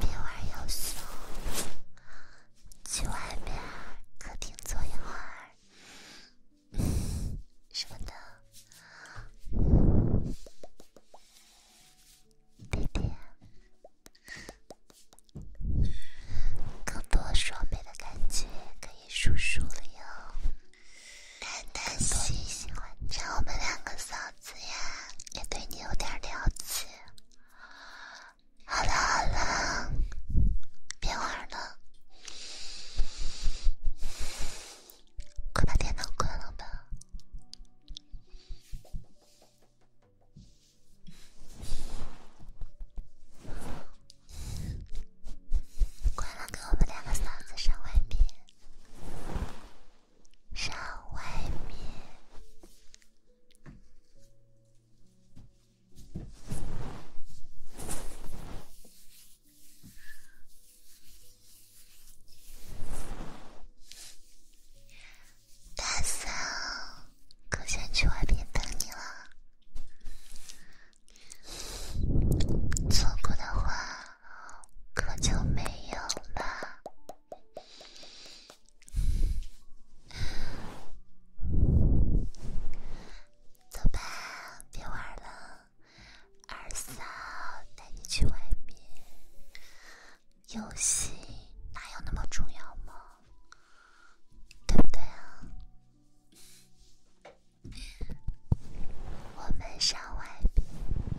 别玩游戏，去外面客厅坐一会儿，什么的。弟弟，更多双倍的感觉可以数数了哟。丹丹喜欢将我们两个扫。子言也对你有点了解。好了好了，别玩了，快把电脑关了吧。关了，给我们两个嫂子上外班。上外面，大嫂，可先去外边等你了。错过的话，可就没有了。走吧，别玩了，二嫂带你去外面。游戏哪有那么重要吗？对不对啊？我们上外面。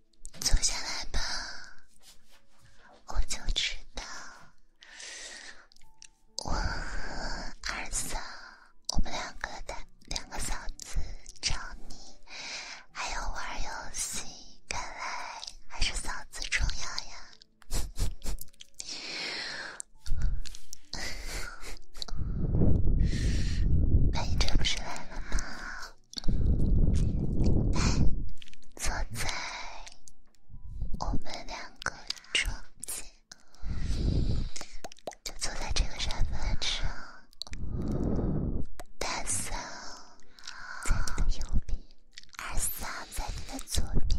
坐下来吧，我就知道我和二嫂，我们两个的两个嫂子找你，还有玩游戏。看来还是嫂子重要呀。那 你这不是来了吗？坐在我们两个中间，就坐在这个沙发上。大三在你的右边，二三在你的左边。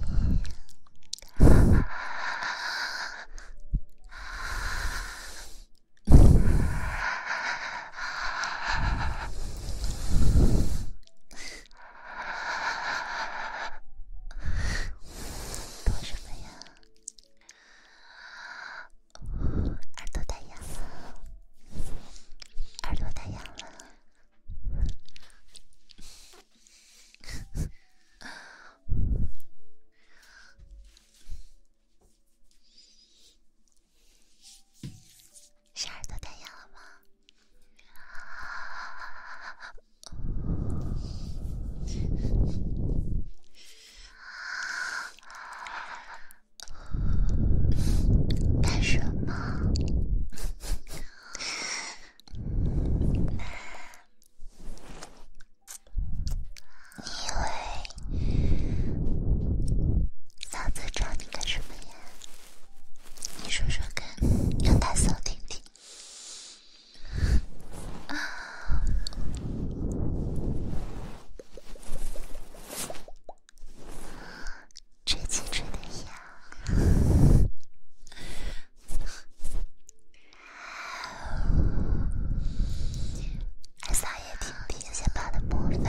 躲什么呀？耳朵太痒了，耳朵太痒了。小耳朵戴眼了吗？干什么？你喂，嫂子找你干什么呀？你说说看，让他扫听听。吹气吹得痒，扫也听听，先把的麻烦。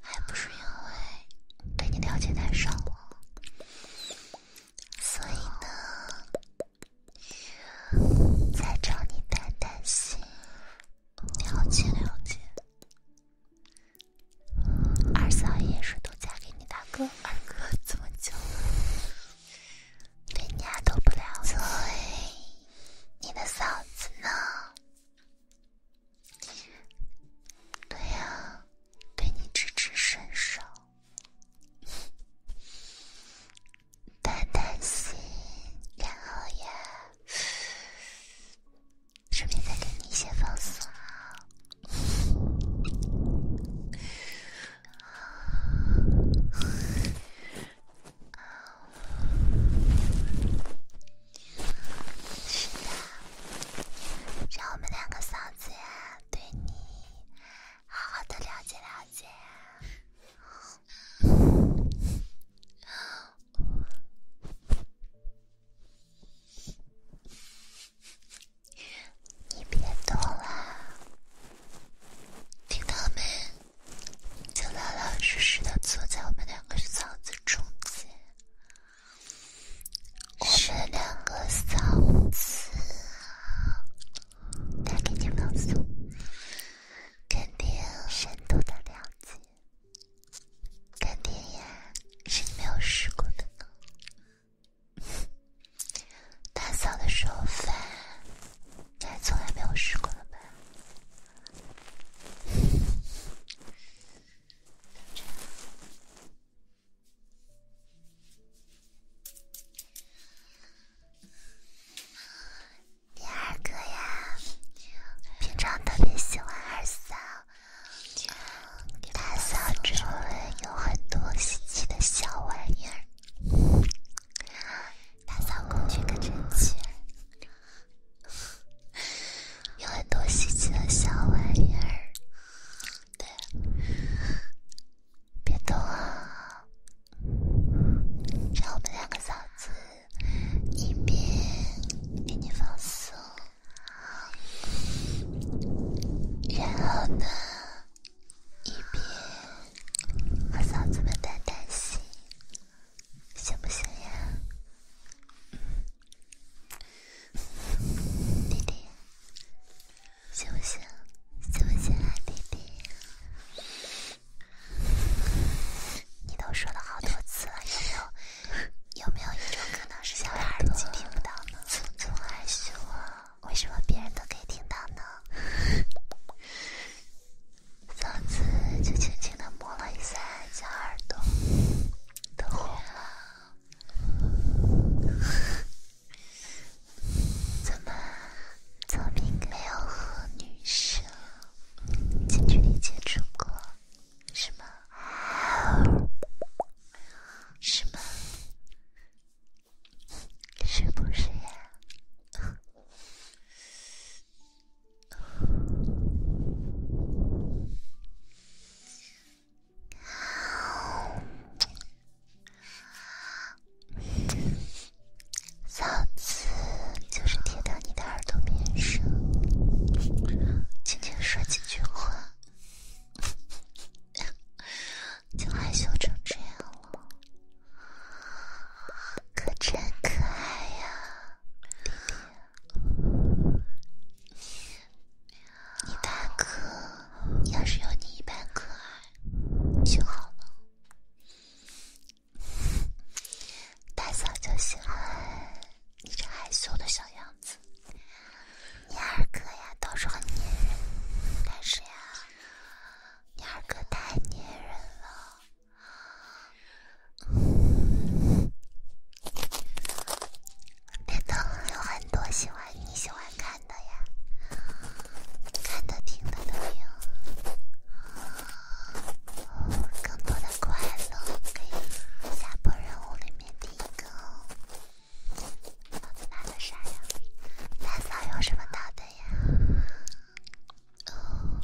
还不是因为对你了解太少，所以呢，在找你谈谈心，了解了解。二嫂也是都嫁给你大哥，二哥这么久了，对你还都不了解，你的嫂子呢？对呀，对你支持伸手，打打心，然后呀，顺便再给你一些放松。是的，让我们两个嫂子对你好好的了解了解。你别动啦，听到没？就老老实实的坐在我们两个嫂子中间。我两个嫂子啊，给你放松，肯定深度的了解，肯定呀，是你没有试过的呢。打扫的时候，你还从来没有试过呢吧？第二个呀，平常特别喜欢打扫，打扫周围有很多稀奇的小玩意儿，打扫工具可齐全，有很多稀奇的小玩意儿。对，别动啊！让我们两个嫂子一边给你放松，然后呢，一边和嫂子们谈谈心，行不行呀？弟弟，想不想，想不想啊，弟弟？你都说了好多次了，有没有？有没有一种可能是小耳朵听不到呢？还是我？为什么别人都可以听到呢？嫂子就轻轻的摸了一下小耳朵，都红了。怎么，聪明没有和女生近距离接触过，是吗？是吗？是不是？上次就是贴到你的耳朵边上，轻轻说几句话，就害羞成这样了，可真可爱呀，弟弟。你大哥要是有你一半可爱就好了，大嫂就喜欢你这害羞的小样子。你二哥呀，倒是很粘人，但是呀，你二哥太粘人了。别动，有很多喜欢你喜欢看的呀，看的、听的都有。更多的快乐可以下播任务里面第一个子拿的啥呀？大嫂有什么大的呀？哦，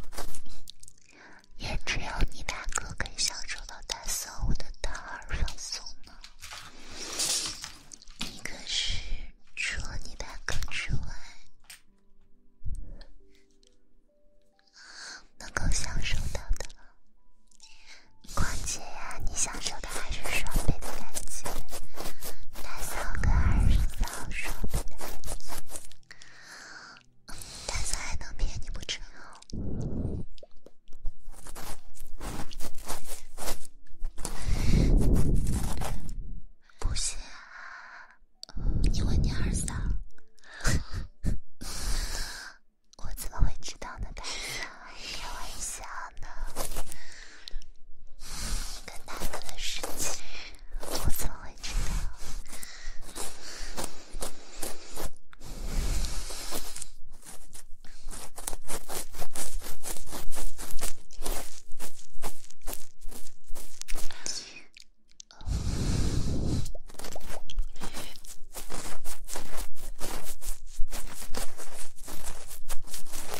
也只有你俩哥可以享受到大嫂我的大儿放松。你可是除了你大哥之外，能够享受到的。况且呀，你享受的还是双倍的待遇，大哥跟二嫂双倍的待遇，大哥还能骗你不成？不行啊！你问你二嫂，我怎么会知道呢？开玩笑呢，跟大哥的事情，我怎么会知道？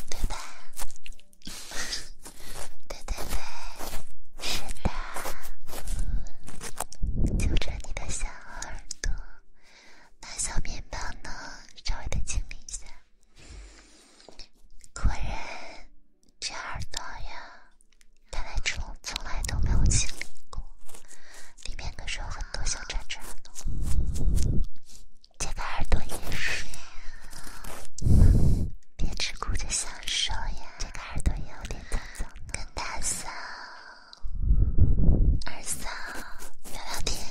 对的，对对对，是的，揪着你的小耳朵。把小面包呢？稍微的清理一下。果然，这耳朵呀，看来虫从来都没有清理过，里面可是有很多小渣渣呢。这个耳朵也是，别只顾着享受呀。这个耳朵也有点脏脏的，跟大嫂。二嫂，聊聊天，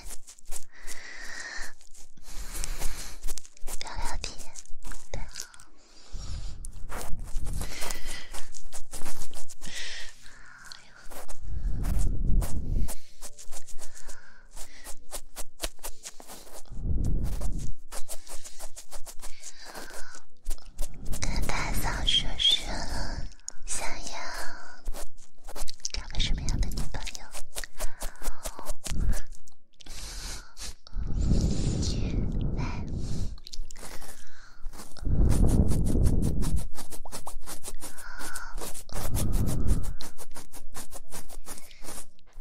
聊聊天。跟大嫂说说。想要找个什么样的女朋友？来，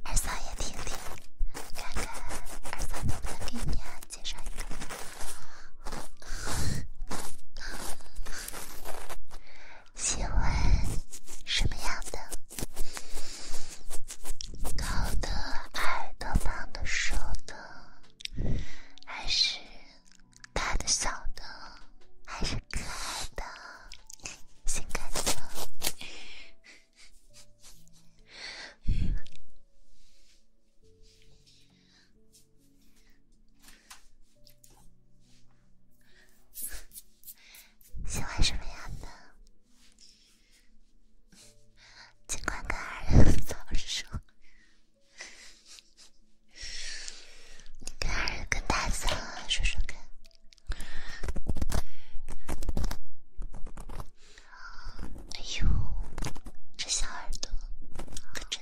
二嫂也听听，看看二嫂能不能给你啊介绍一个。喜欢什么样的？高的、矮的、胖的、瘦的，还是大的、小的，还是可爱的、性感的？喜欢什么样的？尽管跟儿子说说，你跟儿子跟大嫂说说看。哎呦，这小耳朵可真……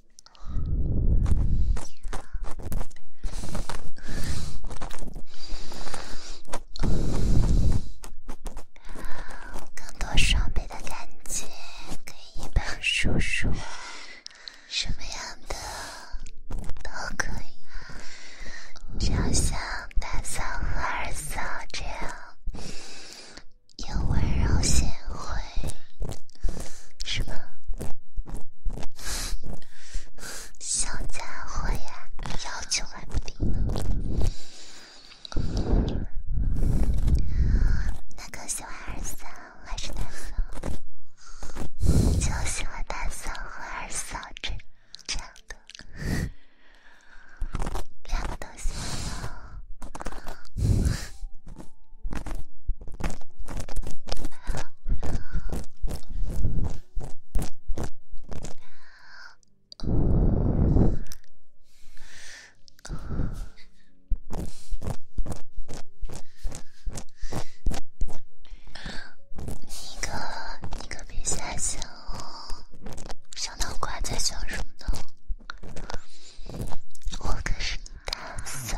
更多双倍的感觉，可以帮叔叔什么样的都可以啊，就像大嫂和二嫂这样，又温柔贤惠。对，是吗？小家伙呀，要求还低呢。哪个喜欢二嫂还是大嫂？就喜欢大嫂和二嫂这这样的，两个都喜欢。你可你可别瞎想。哦！小脑瓜在想什么呢？我可是你大嫂。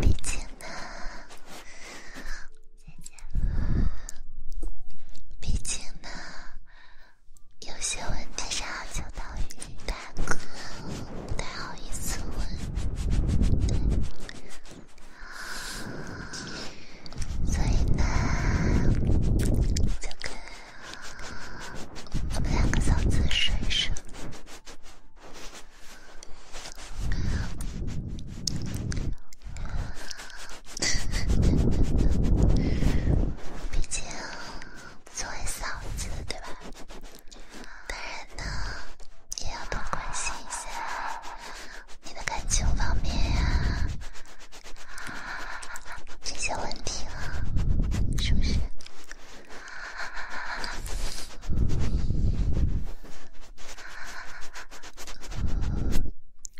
毕竟呢，再见了。毕竟呢，有些问题上就等于大哥，不太好意思问。所以呢，这个我们两个嫂子睡睡。毕竟作为嫂子，对吧？当然。呢，也要多关心一下你的感情方面呀，这些问题了，是不是？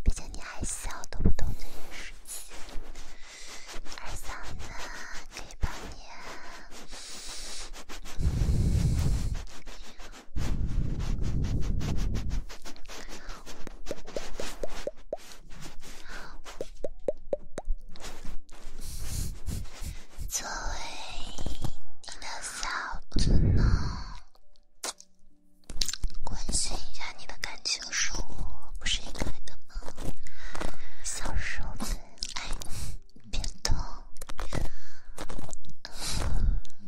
毕竟你还小，懂不懂这些事情？二嫂子可以帮你。作为你的小叔子，关心一下你的感情生活，不是应该的吗？小叔子，哎。别动，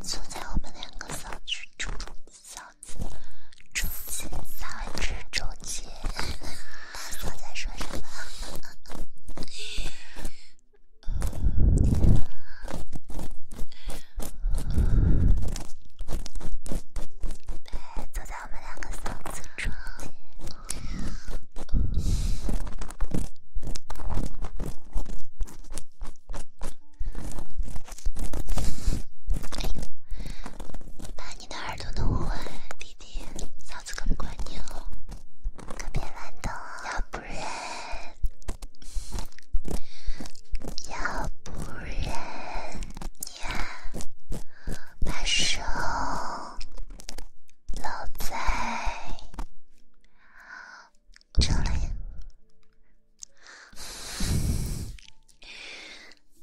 坐在我们两个嗓子中，间，嗓子说什么？坐在我们两个嗓子中间。哎呦，把你的耳朵弄坏，弟弟，嫂子可不管你了，可别乱动。要不然，要不然呀，把手搂在。这里，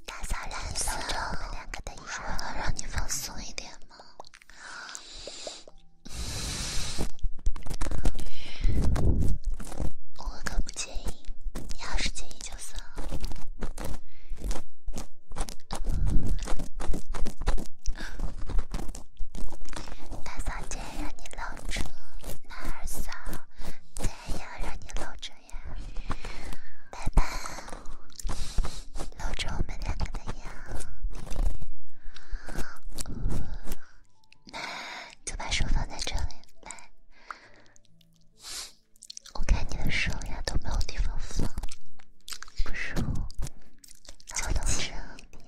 打扫打扫，好，能让你放松一点吗？我可不介意，你要是介意就算了。打扫。再让你搂着男二嫂，再要让你搂着呀，拜拜！搂着我们两个的腰，那就把手放在这里来，我看你的手呀都没有地方放，不舒服，就到这里。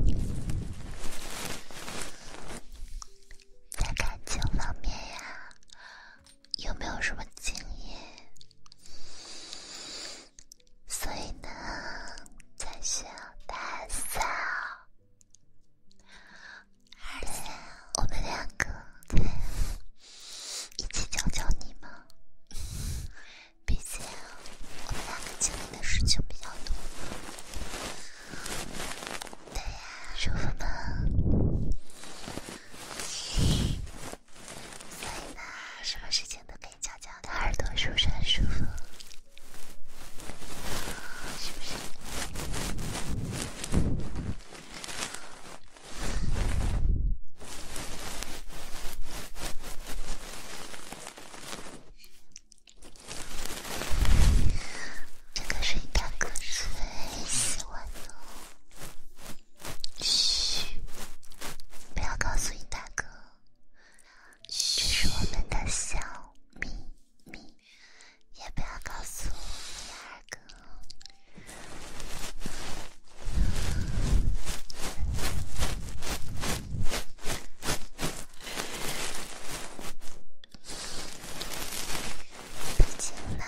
你在感情方面呀，有没有什么经验？所以呢，在学打扫，而且我们两个对，一起教教你嘛。毕竟我们两个经历的事情比较多，对呀，舒服吗？所以呢，什么事情都可以悄悄的。耳朵是不是很舒服？是不是？这个是大哥最喜欢的。嘘，不要告诉尹大哥，这是我们的小秘密，也不要告诉大哥。毕竟呢，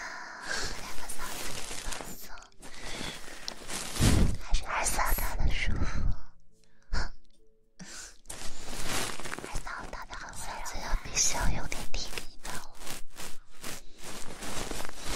两个嗓子一起放松，还是二嗓子的舒服。二嗓子的很温柔，这样必须要有点体力的。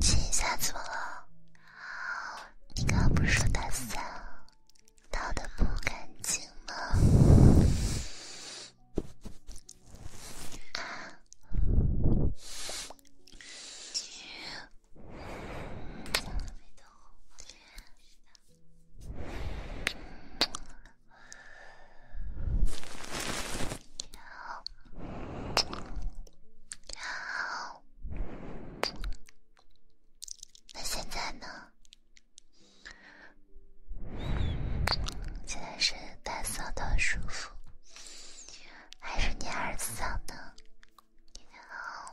亲一下怎么了？你刚刚不是说打扫扫得不干净吗？那现在呢？现在是打扫的舒服，还是你儿子扫呢？你好。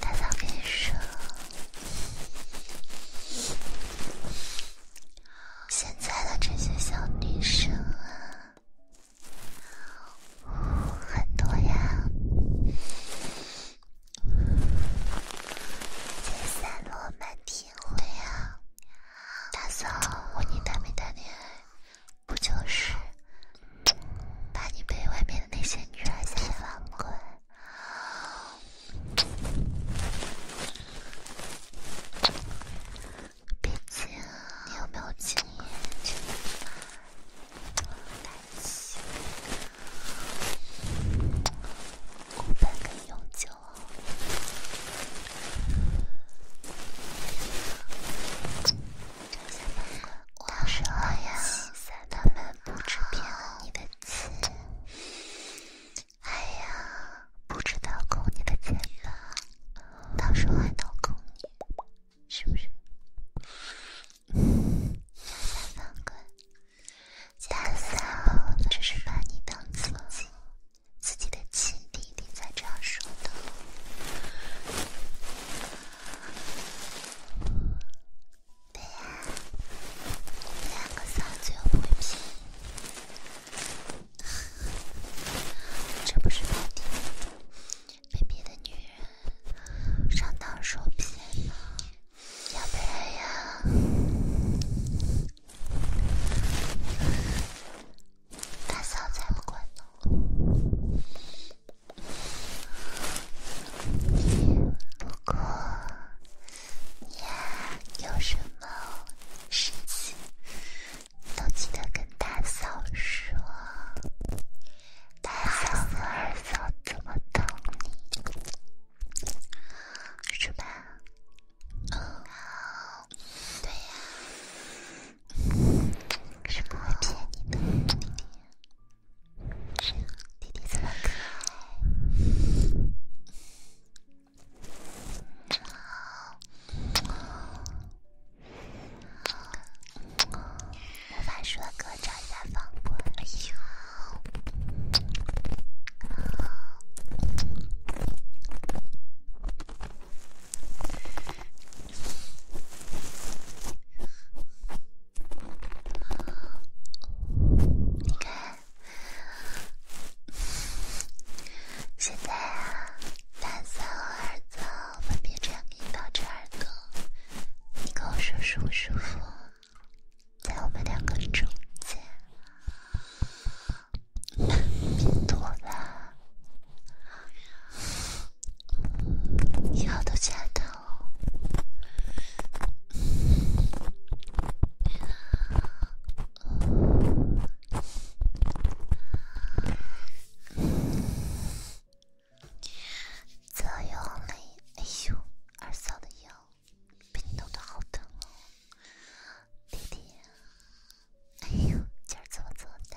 大嫂跟你说，现在的这些小女生啊，很多呀，散落满天灰啊。大嫂，问你谈没谈恋爱？不就是。怕你被外面的那些女孩子玩坏，毕竟你有没有经验真的没关系，骨盆可以永久。到我说呀，三他们不知骗你的钱，哎呀，不知道扣你的钱源到时候还能扣你，是不是？大反骨，三只是把你当做自己的亲弟弟才这样说的。对呀，两个嫂子又不会拼，这不是被逼，被别的女人上当受骗了。要不然呀，大嫂才不管呢。不过，你有什么事情都记得跟大嫂说，大嫂和二嫂怎么疼你是吧？哦，对呀，是不会骗你的，弟弟。弟弟这么可爱？魔法书的歌找一下放播。你看，现在蓝色和耳朵分别这样给导致耳朵，你跟我说舒不舒服？在我们两个中间，多啦，腰都夹疼。左右嘞，哎呦，二嫂的腰被你弄得好疼哦，弟弟，哎呦，今儿怎么做的？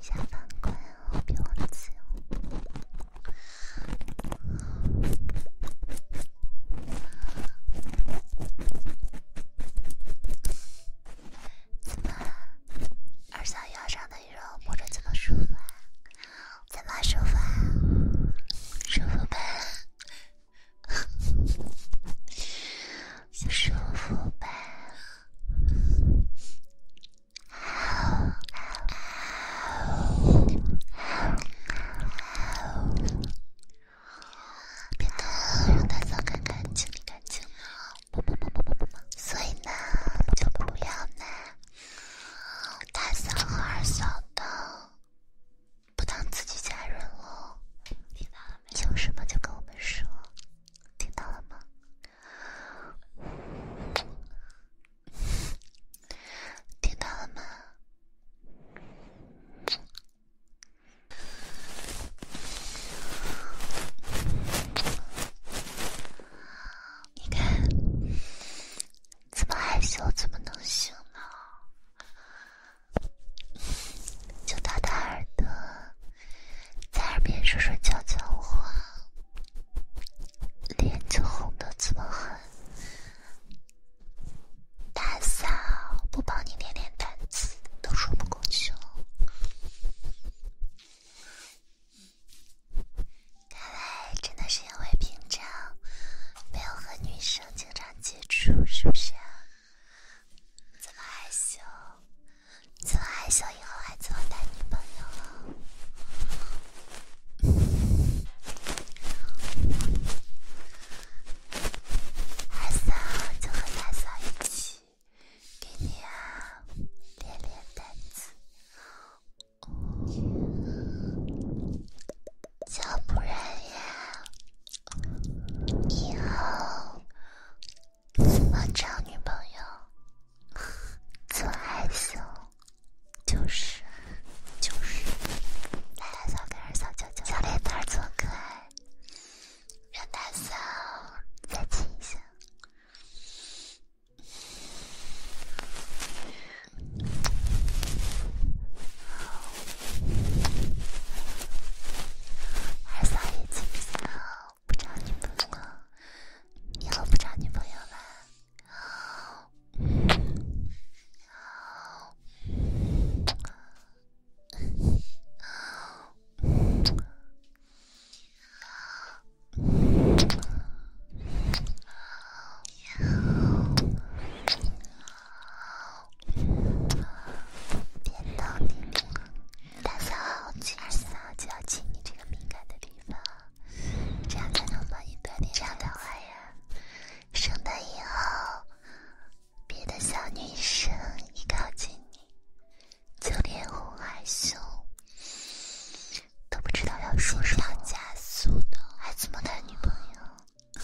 下班快哦，别忘哦。怎么？二腰上的肉摸着怎么舒服啊？怎么舒服啊？舒服呗，舒服呗。别闹！让大嫂看看，清理干净了。所以呢，就不要拿大嫂和二嫂当不当自己家人哦。有什么就跟我们说。听到了吗？听到了吗？你看，这么害羞怎么能行呢？就掏掏耳朵。在耳边说说悄悄话，脸就红的这么狠，大嫂不帮你练练胆子，都说不过去了。看来真的是因为平常没有和女生经常接触，是不是？怎么害羞？从二嫂以后还做男女朋友，二嫂就和三嫂一起给你啊练练胆子，要不然呀以后。怎么找女朋友？做害羞，就是就是，来了嫂可二嫂舅舅，小脸蛋儿真可爱，让大嫂再亲一下，二嫂也亲一下。不找女朋友，以后不找女朋友了。大嫂，今天大嫂就要亲你这个敏感的地方，这样才能把一百点上的坏人，升到以后，别的小女生一靠近你，就连哄害羞都不知道要说什么，加速的，还怎么谈女朋友？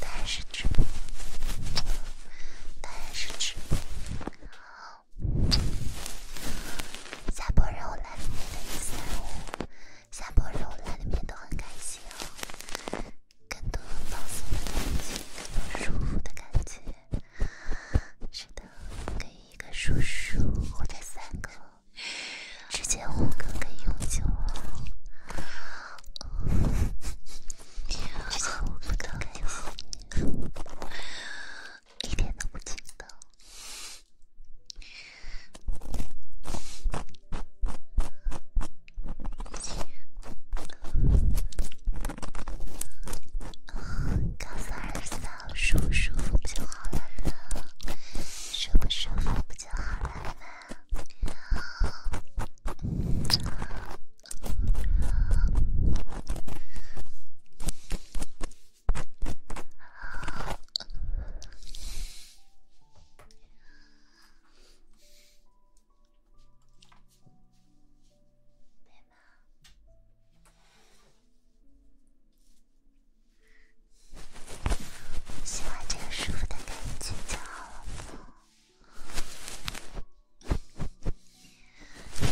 但是直播，但是直播。下播之后来里面一下午，下播之后来里面都很开心哦，更多放松的感觉，更多舒服的感觉。是的，给一个叔叔或者三个，直接五个可以用久。直接五个可以用久。一点都不记得。啊，告诉儿子，舒不舒服不就好了吗？舒不舒服不就好了吗？喜欢这个舒服的感觉就好了。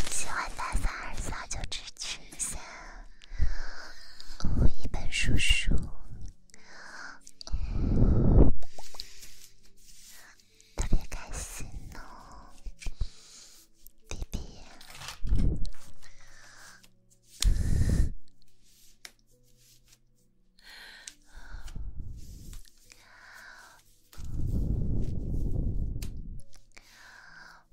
喜欢三三二三就支持一下。哦，一本书书，特别开心呢，弟弟。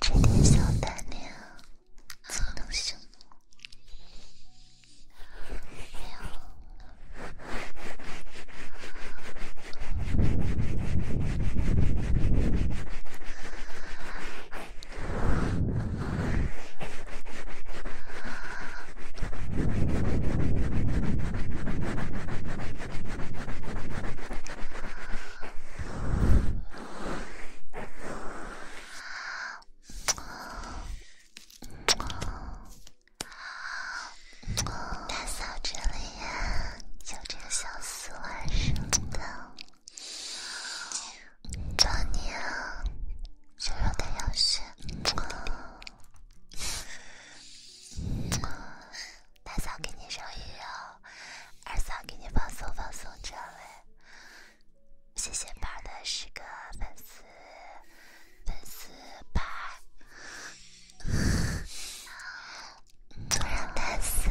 这点小胆量，怎能行呢？大嫂，这里呀，有这个小苏啊什么的，壮娘，就说点小事。大嫂给你揉一揉，二嫂给你放松放松这里。谢谢宝的十个粉丝，粉丝吧，我让他扫，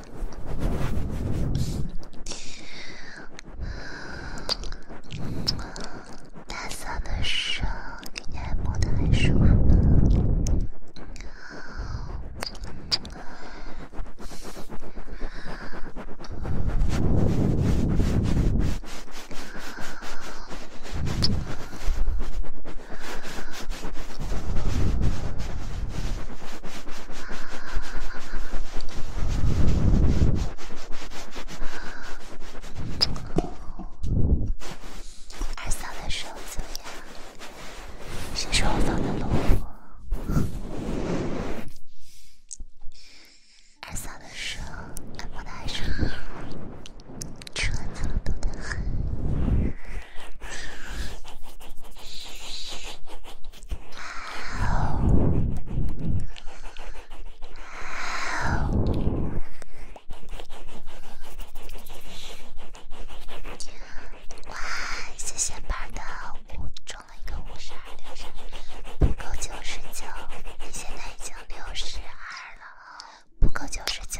大色的手，感觉摸的很舒服。二嫂的手怎么样？谁说我放的萝卜？二嫂的手按摩的还长，搓澡多得很。哇！谢谢宝的，我中了一个五十二，不够九十九。你现在已经六十二了，不够九十九。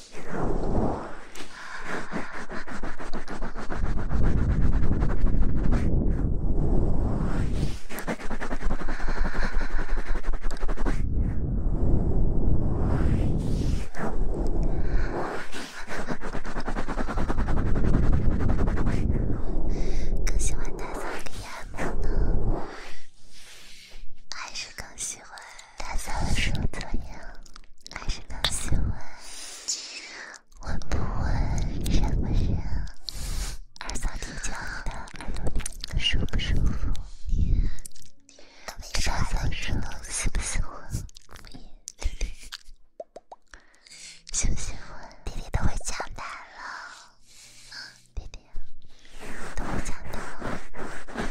更喜欢大萨利安猫呢，还是更喜欢？大嫂说怎样？还是不喜欢？我不闻？热不热？二嫂听讲的耳朵你脸舒不舒服？给大嫂说喜不喜欢？喜不喜欢？弟弟都会讲难了。弟弟都会讲难了。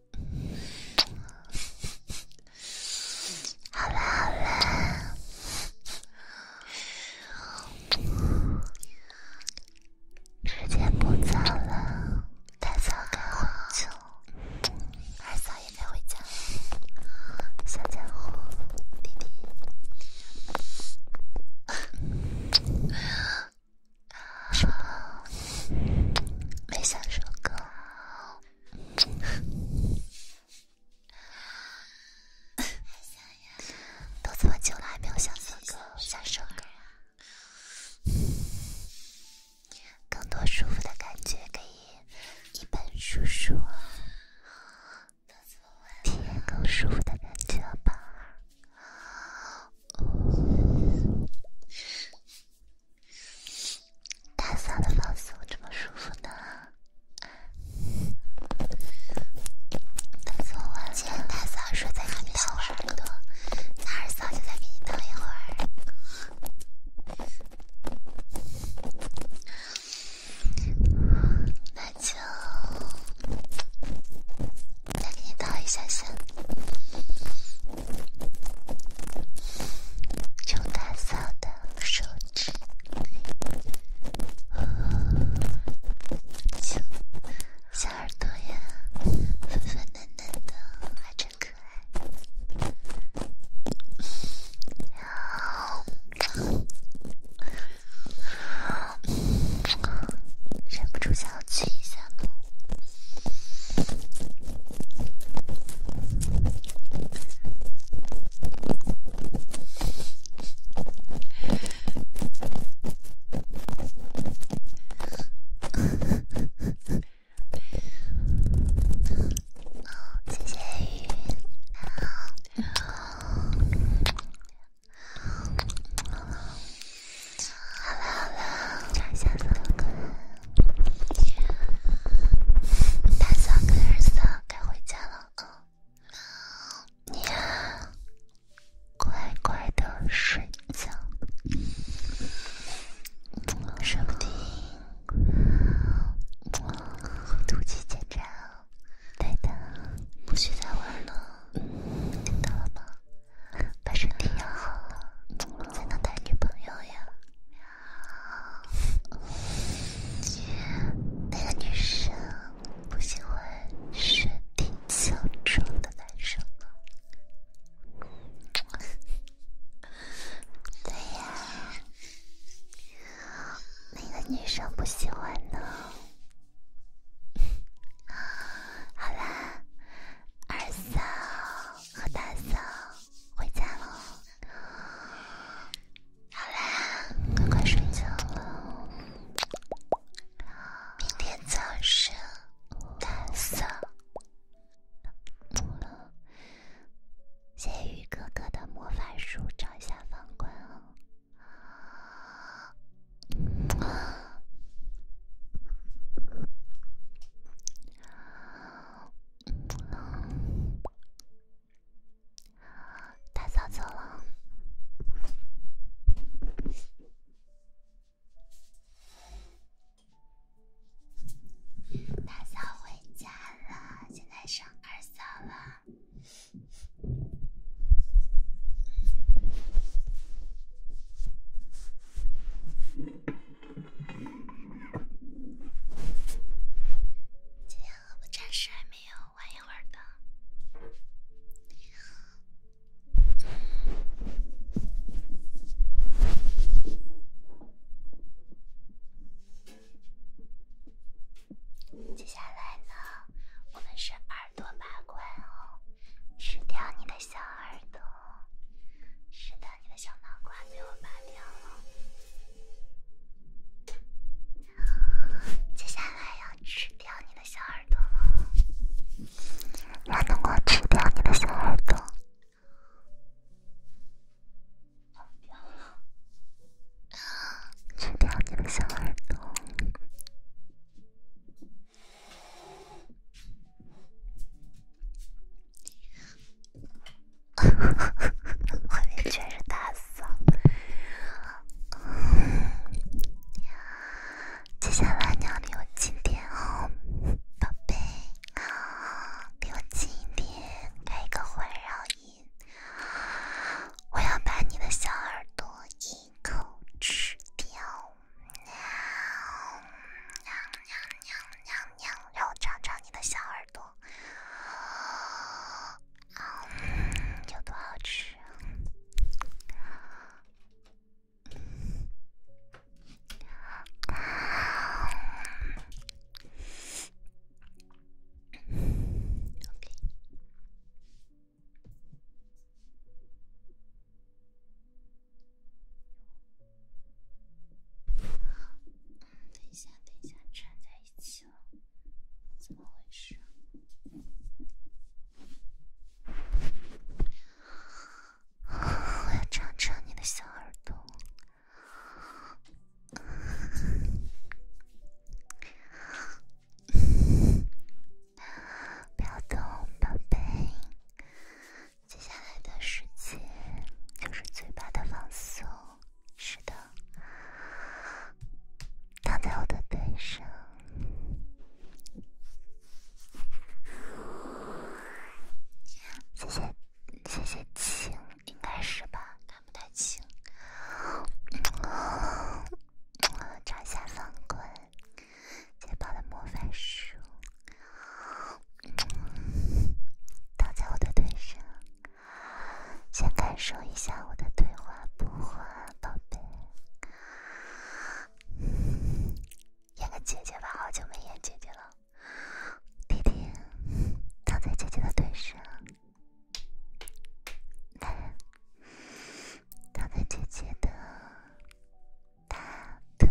好啦，好啦。时间不早了，大嫂该回去了，二嫂也该回家了，小家伙，弟弟。没想首歌，都这么久了还没有想首歌，想首歌啊！更多舒服的感觉，可以一本书书，体验更舒服的感觉吧。大嫂的子怎么这么舒服呢？那昨晚大嫂说再等一耳朵，那二嫂就再给你等一会儿，那就再给你倒一下先。邱大嫂的手指，小耳朵呀，粉粉嫩嫩的，还真可爱。呀，忍不住想去亲亲。哦，谢谢雨。好，大嫂跟二嫂该回家了啊！你呀，乖乖的睡觉，说不定听。突击检查，对的，不许再玩了，听到了吗？把身体养好，了，才能谈女朋友呀。呀，姐，那个女生不喜欢身体强壮的男生吗？对呀，那个女生不喜欢呢。好啦，二三。和大嫂回家了，好啦，快快睡觉了。明天早上，大嫂。谢谢雨哥哥的魔法书，照一下房管哦。嗯，大嫂走了，大嫂回家了，现在生二嫂了。今天我暂时还没有玩一会儿接下来呢，我们是耳朵拔罐哦，吃掉你的小耳朵。是的，你的小脑瓜被我拔掉了，接下来要吃掉你的小耳朵了，能够吃掉你的小耳朵，吃掉你的小耳朵。哈哈哈哈哈！外面全是大嫂。喵，接下来你要离我近点哦，宝贝。啊，给我近一点，开一个环绕音。我要把你的小耳朵一口吃掉。喵喵喵喵喵。娘，让我尝尝你的小耳朵，啊，有多好吃？嗯，等一下，等一下，缠在一起了，怎么回事？我要尝尝你的小耳朵，不要动，宝贝。接下来的时间就是嘴巴的放松。是的，躺在我的背上。谢谢，谢谢亲，应该是吧？看不太清。查一下《方观》《捷报》的魔法书。躺在我的腿上，先感受一下我的腿滑不滑，宝贝。演个姐姐吧，好久没演姐姐了。弟弟，躺在姐姐的腿上，来，躺在姐姐的大腿。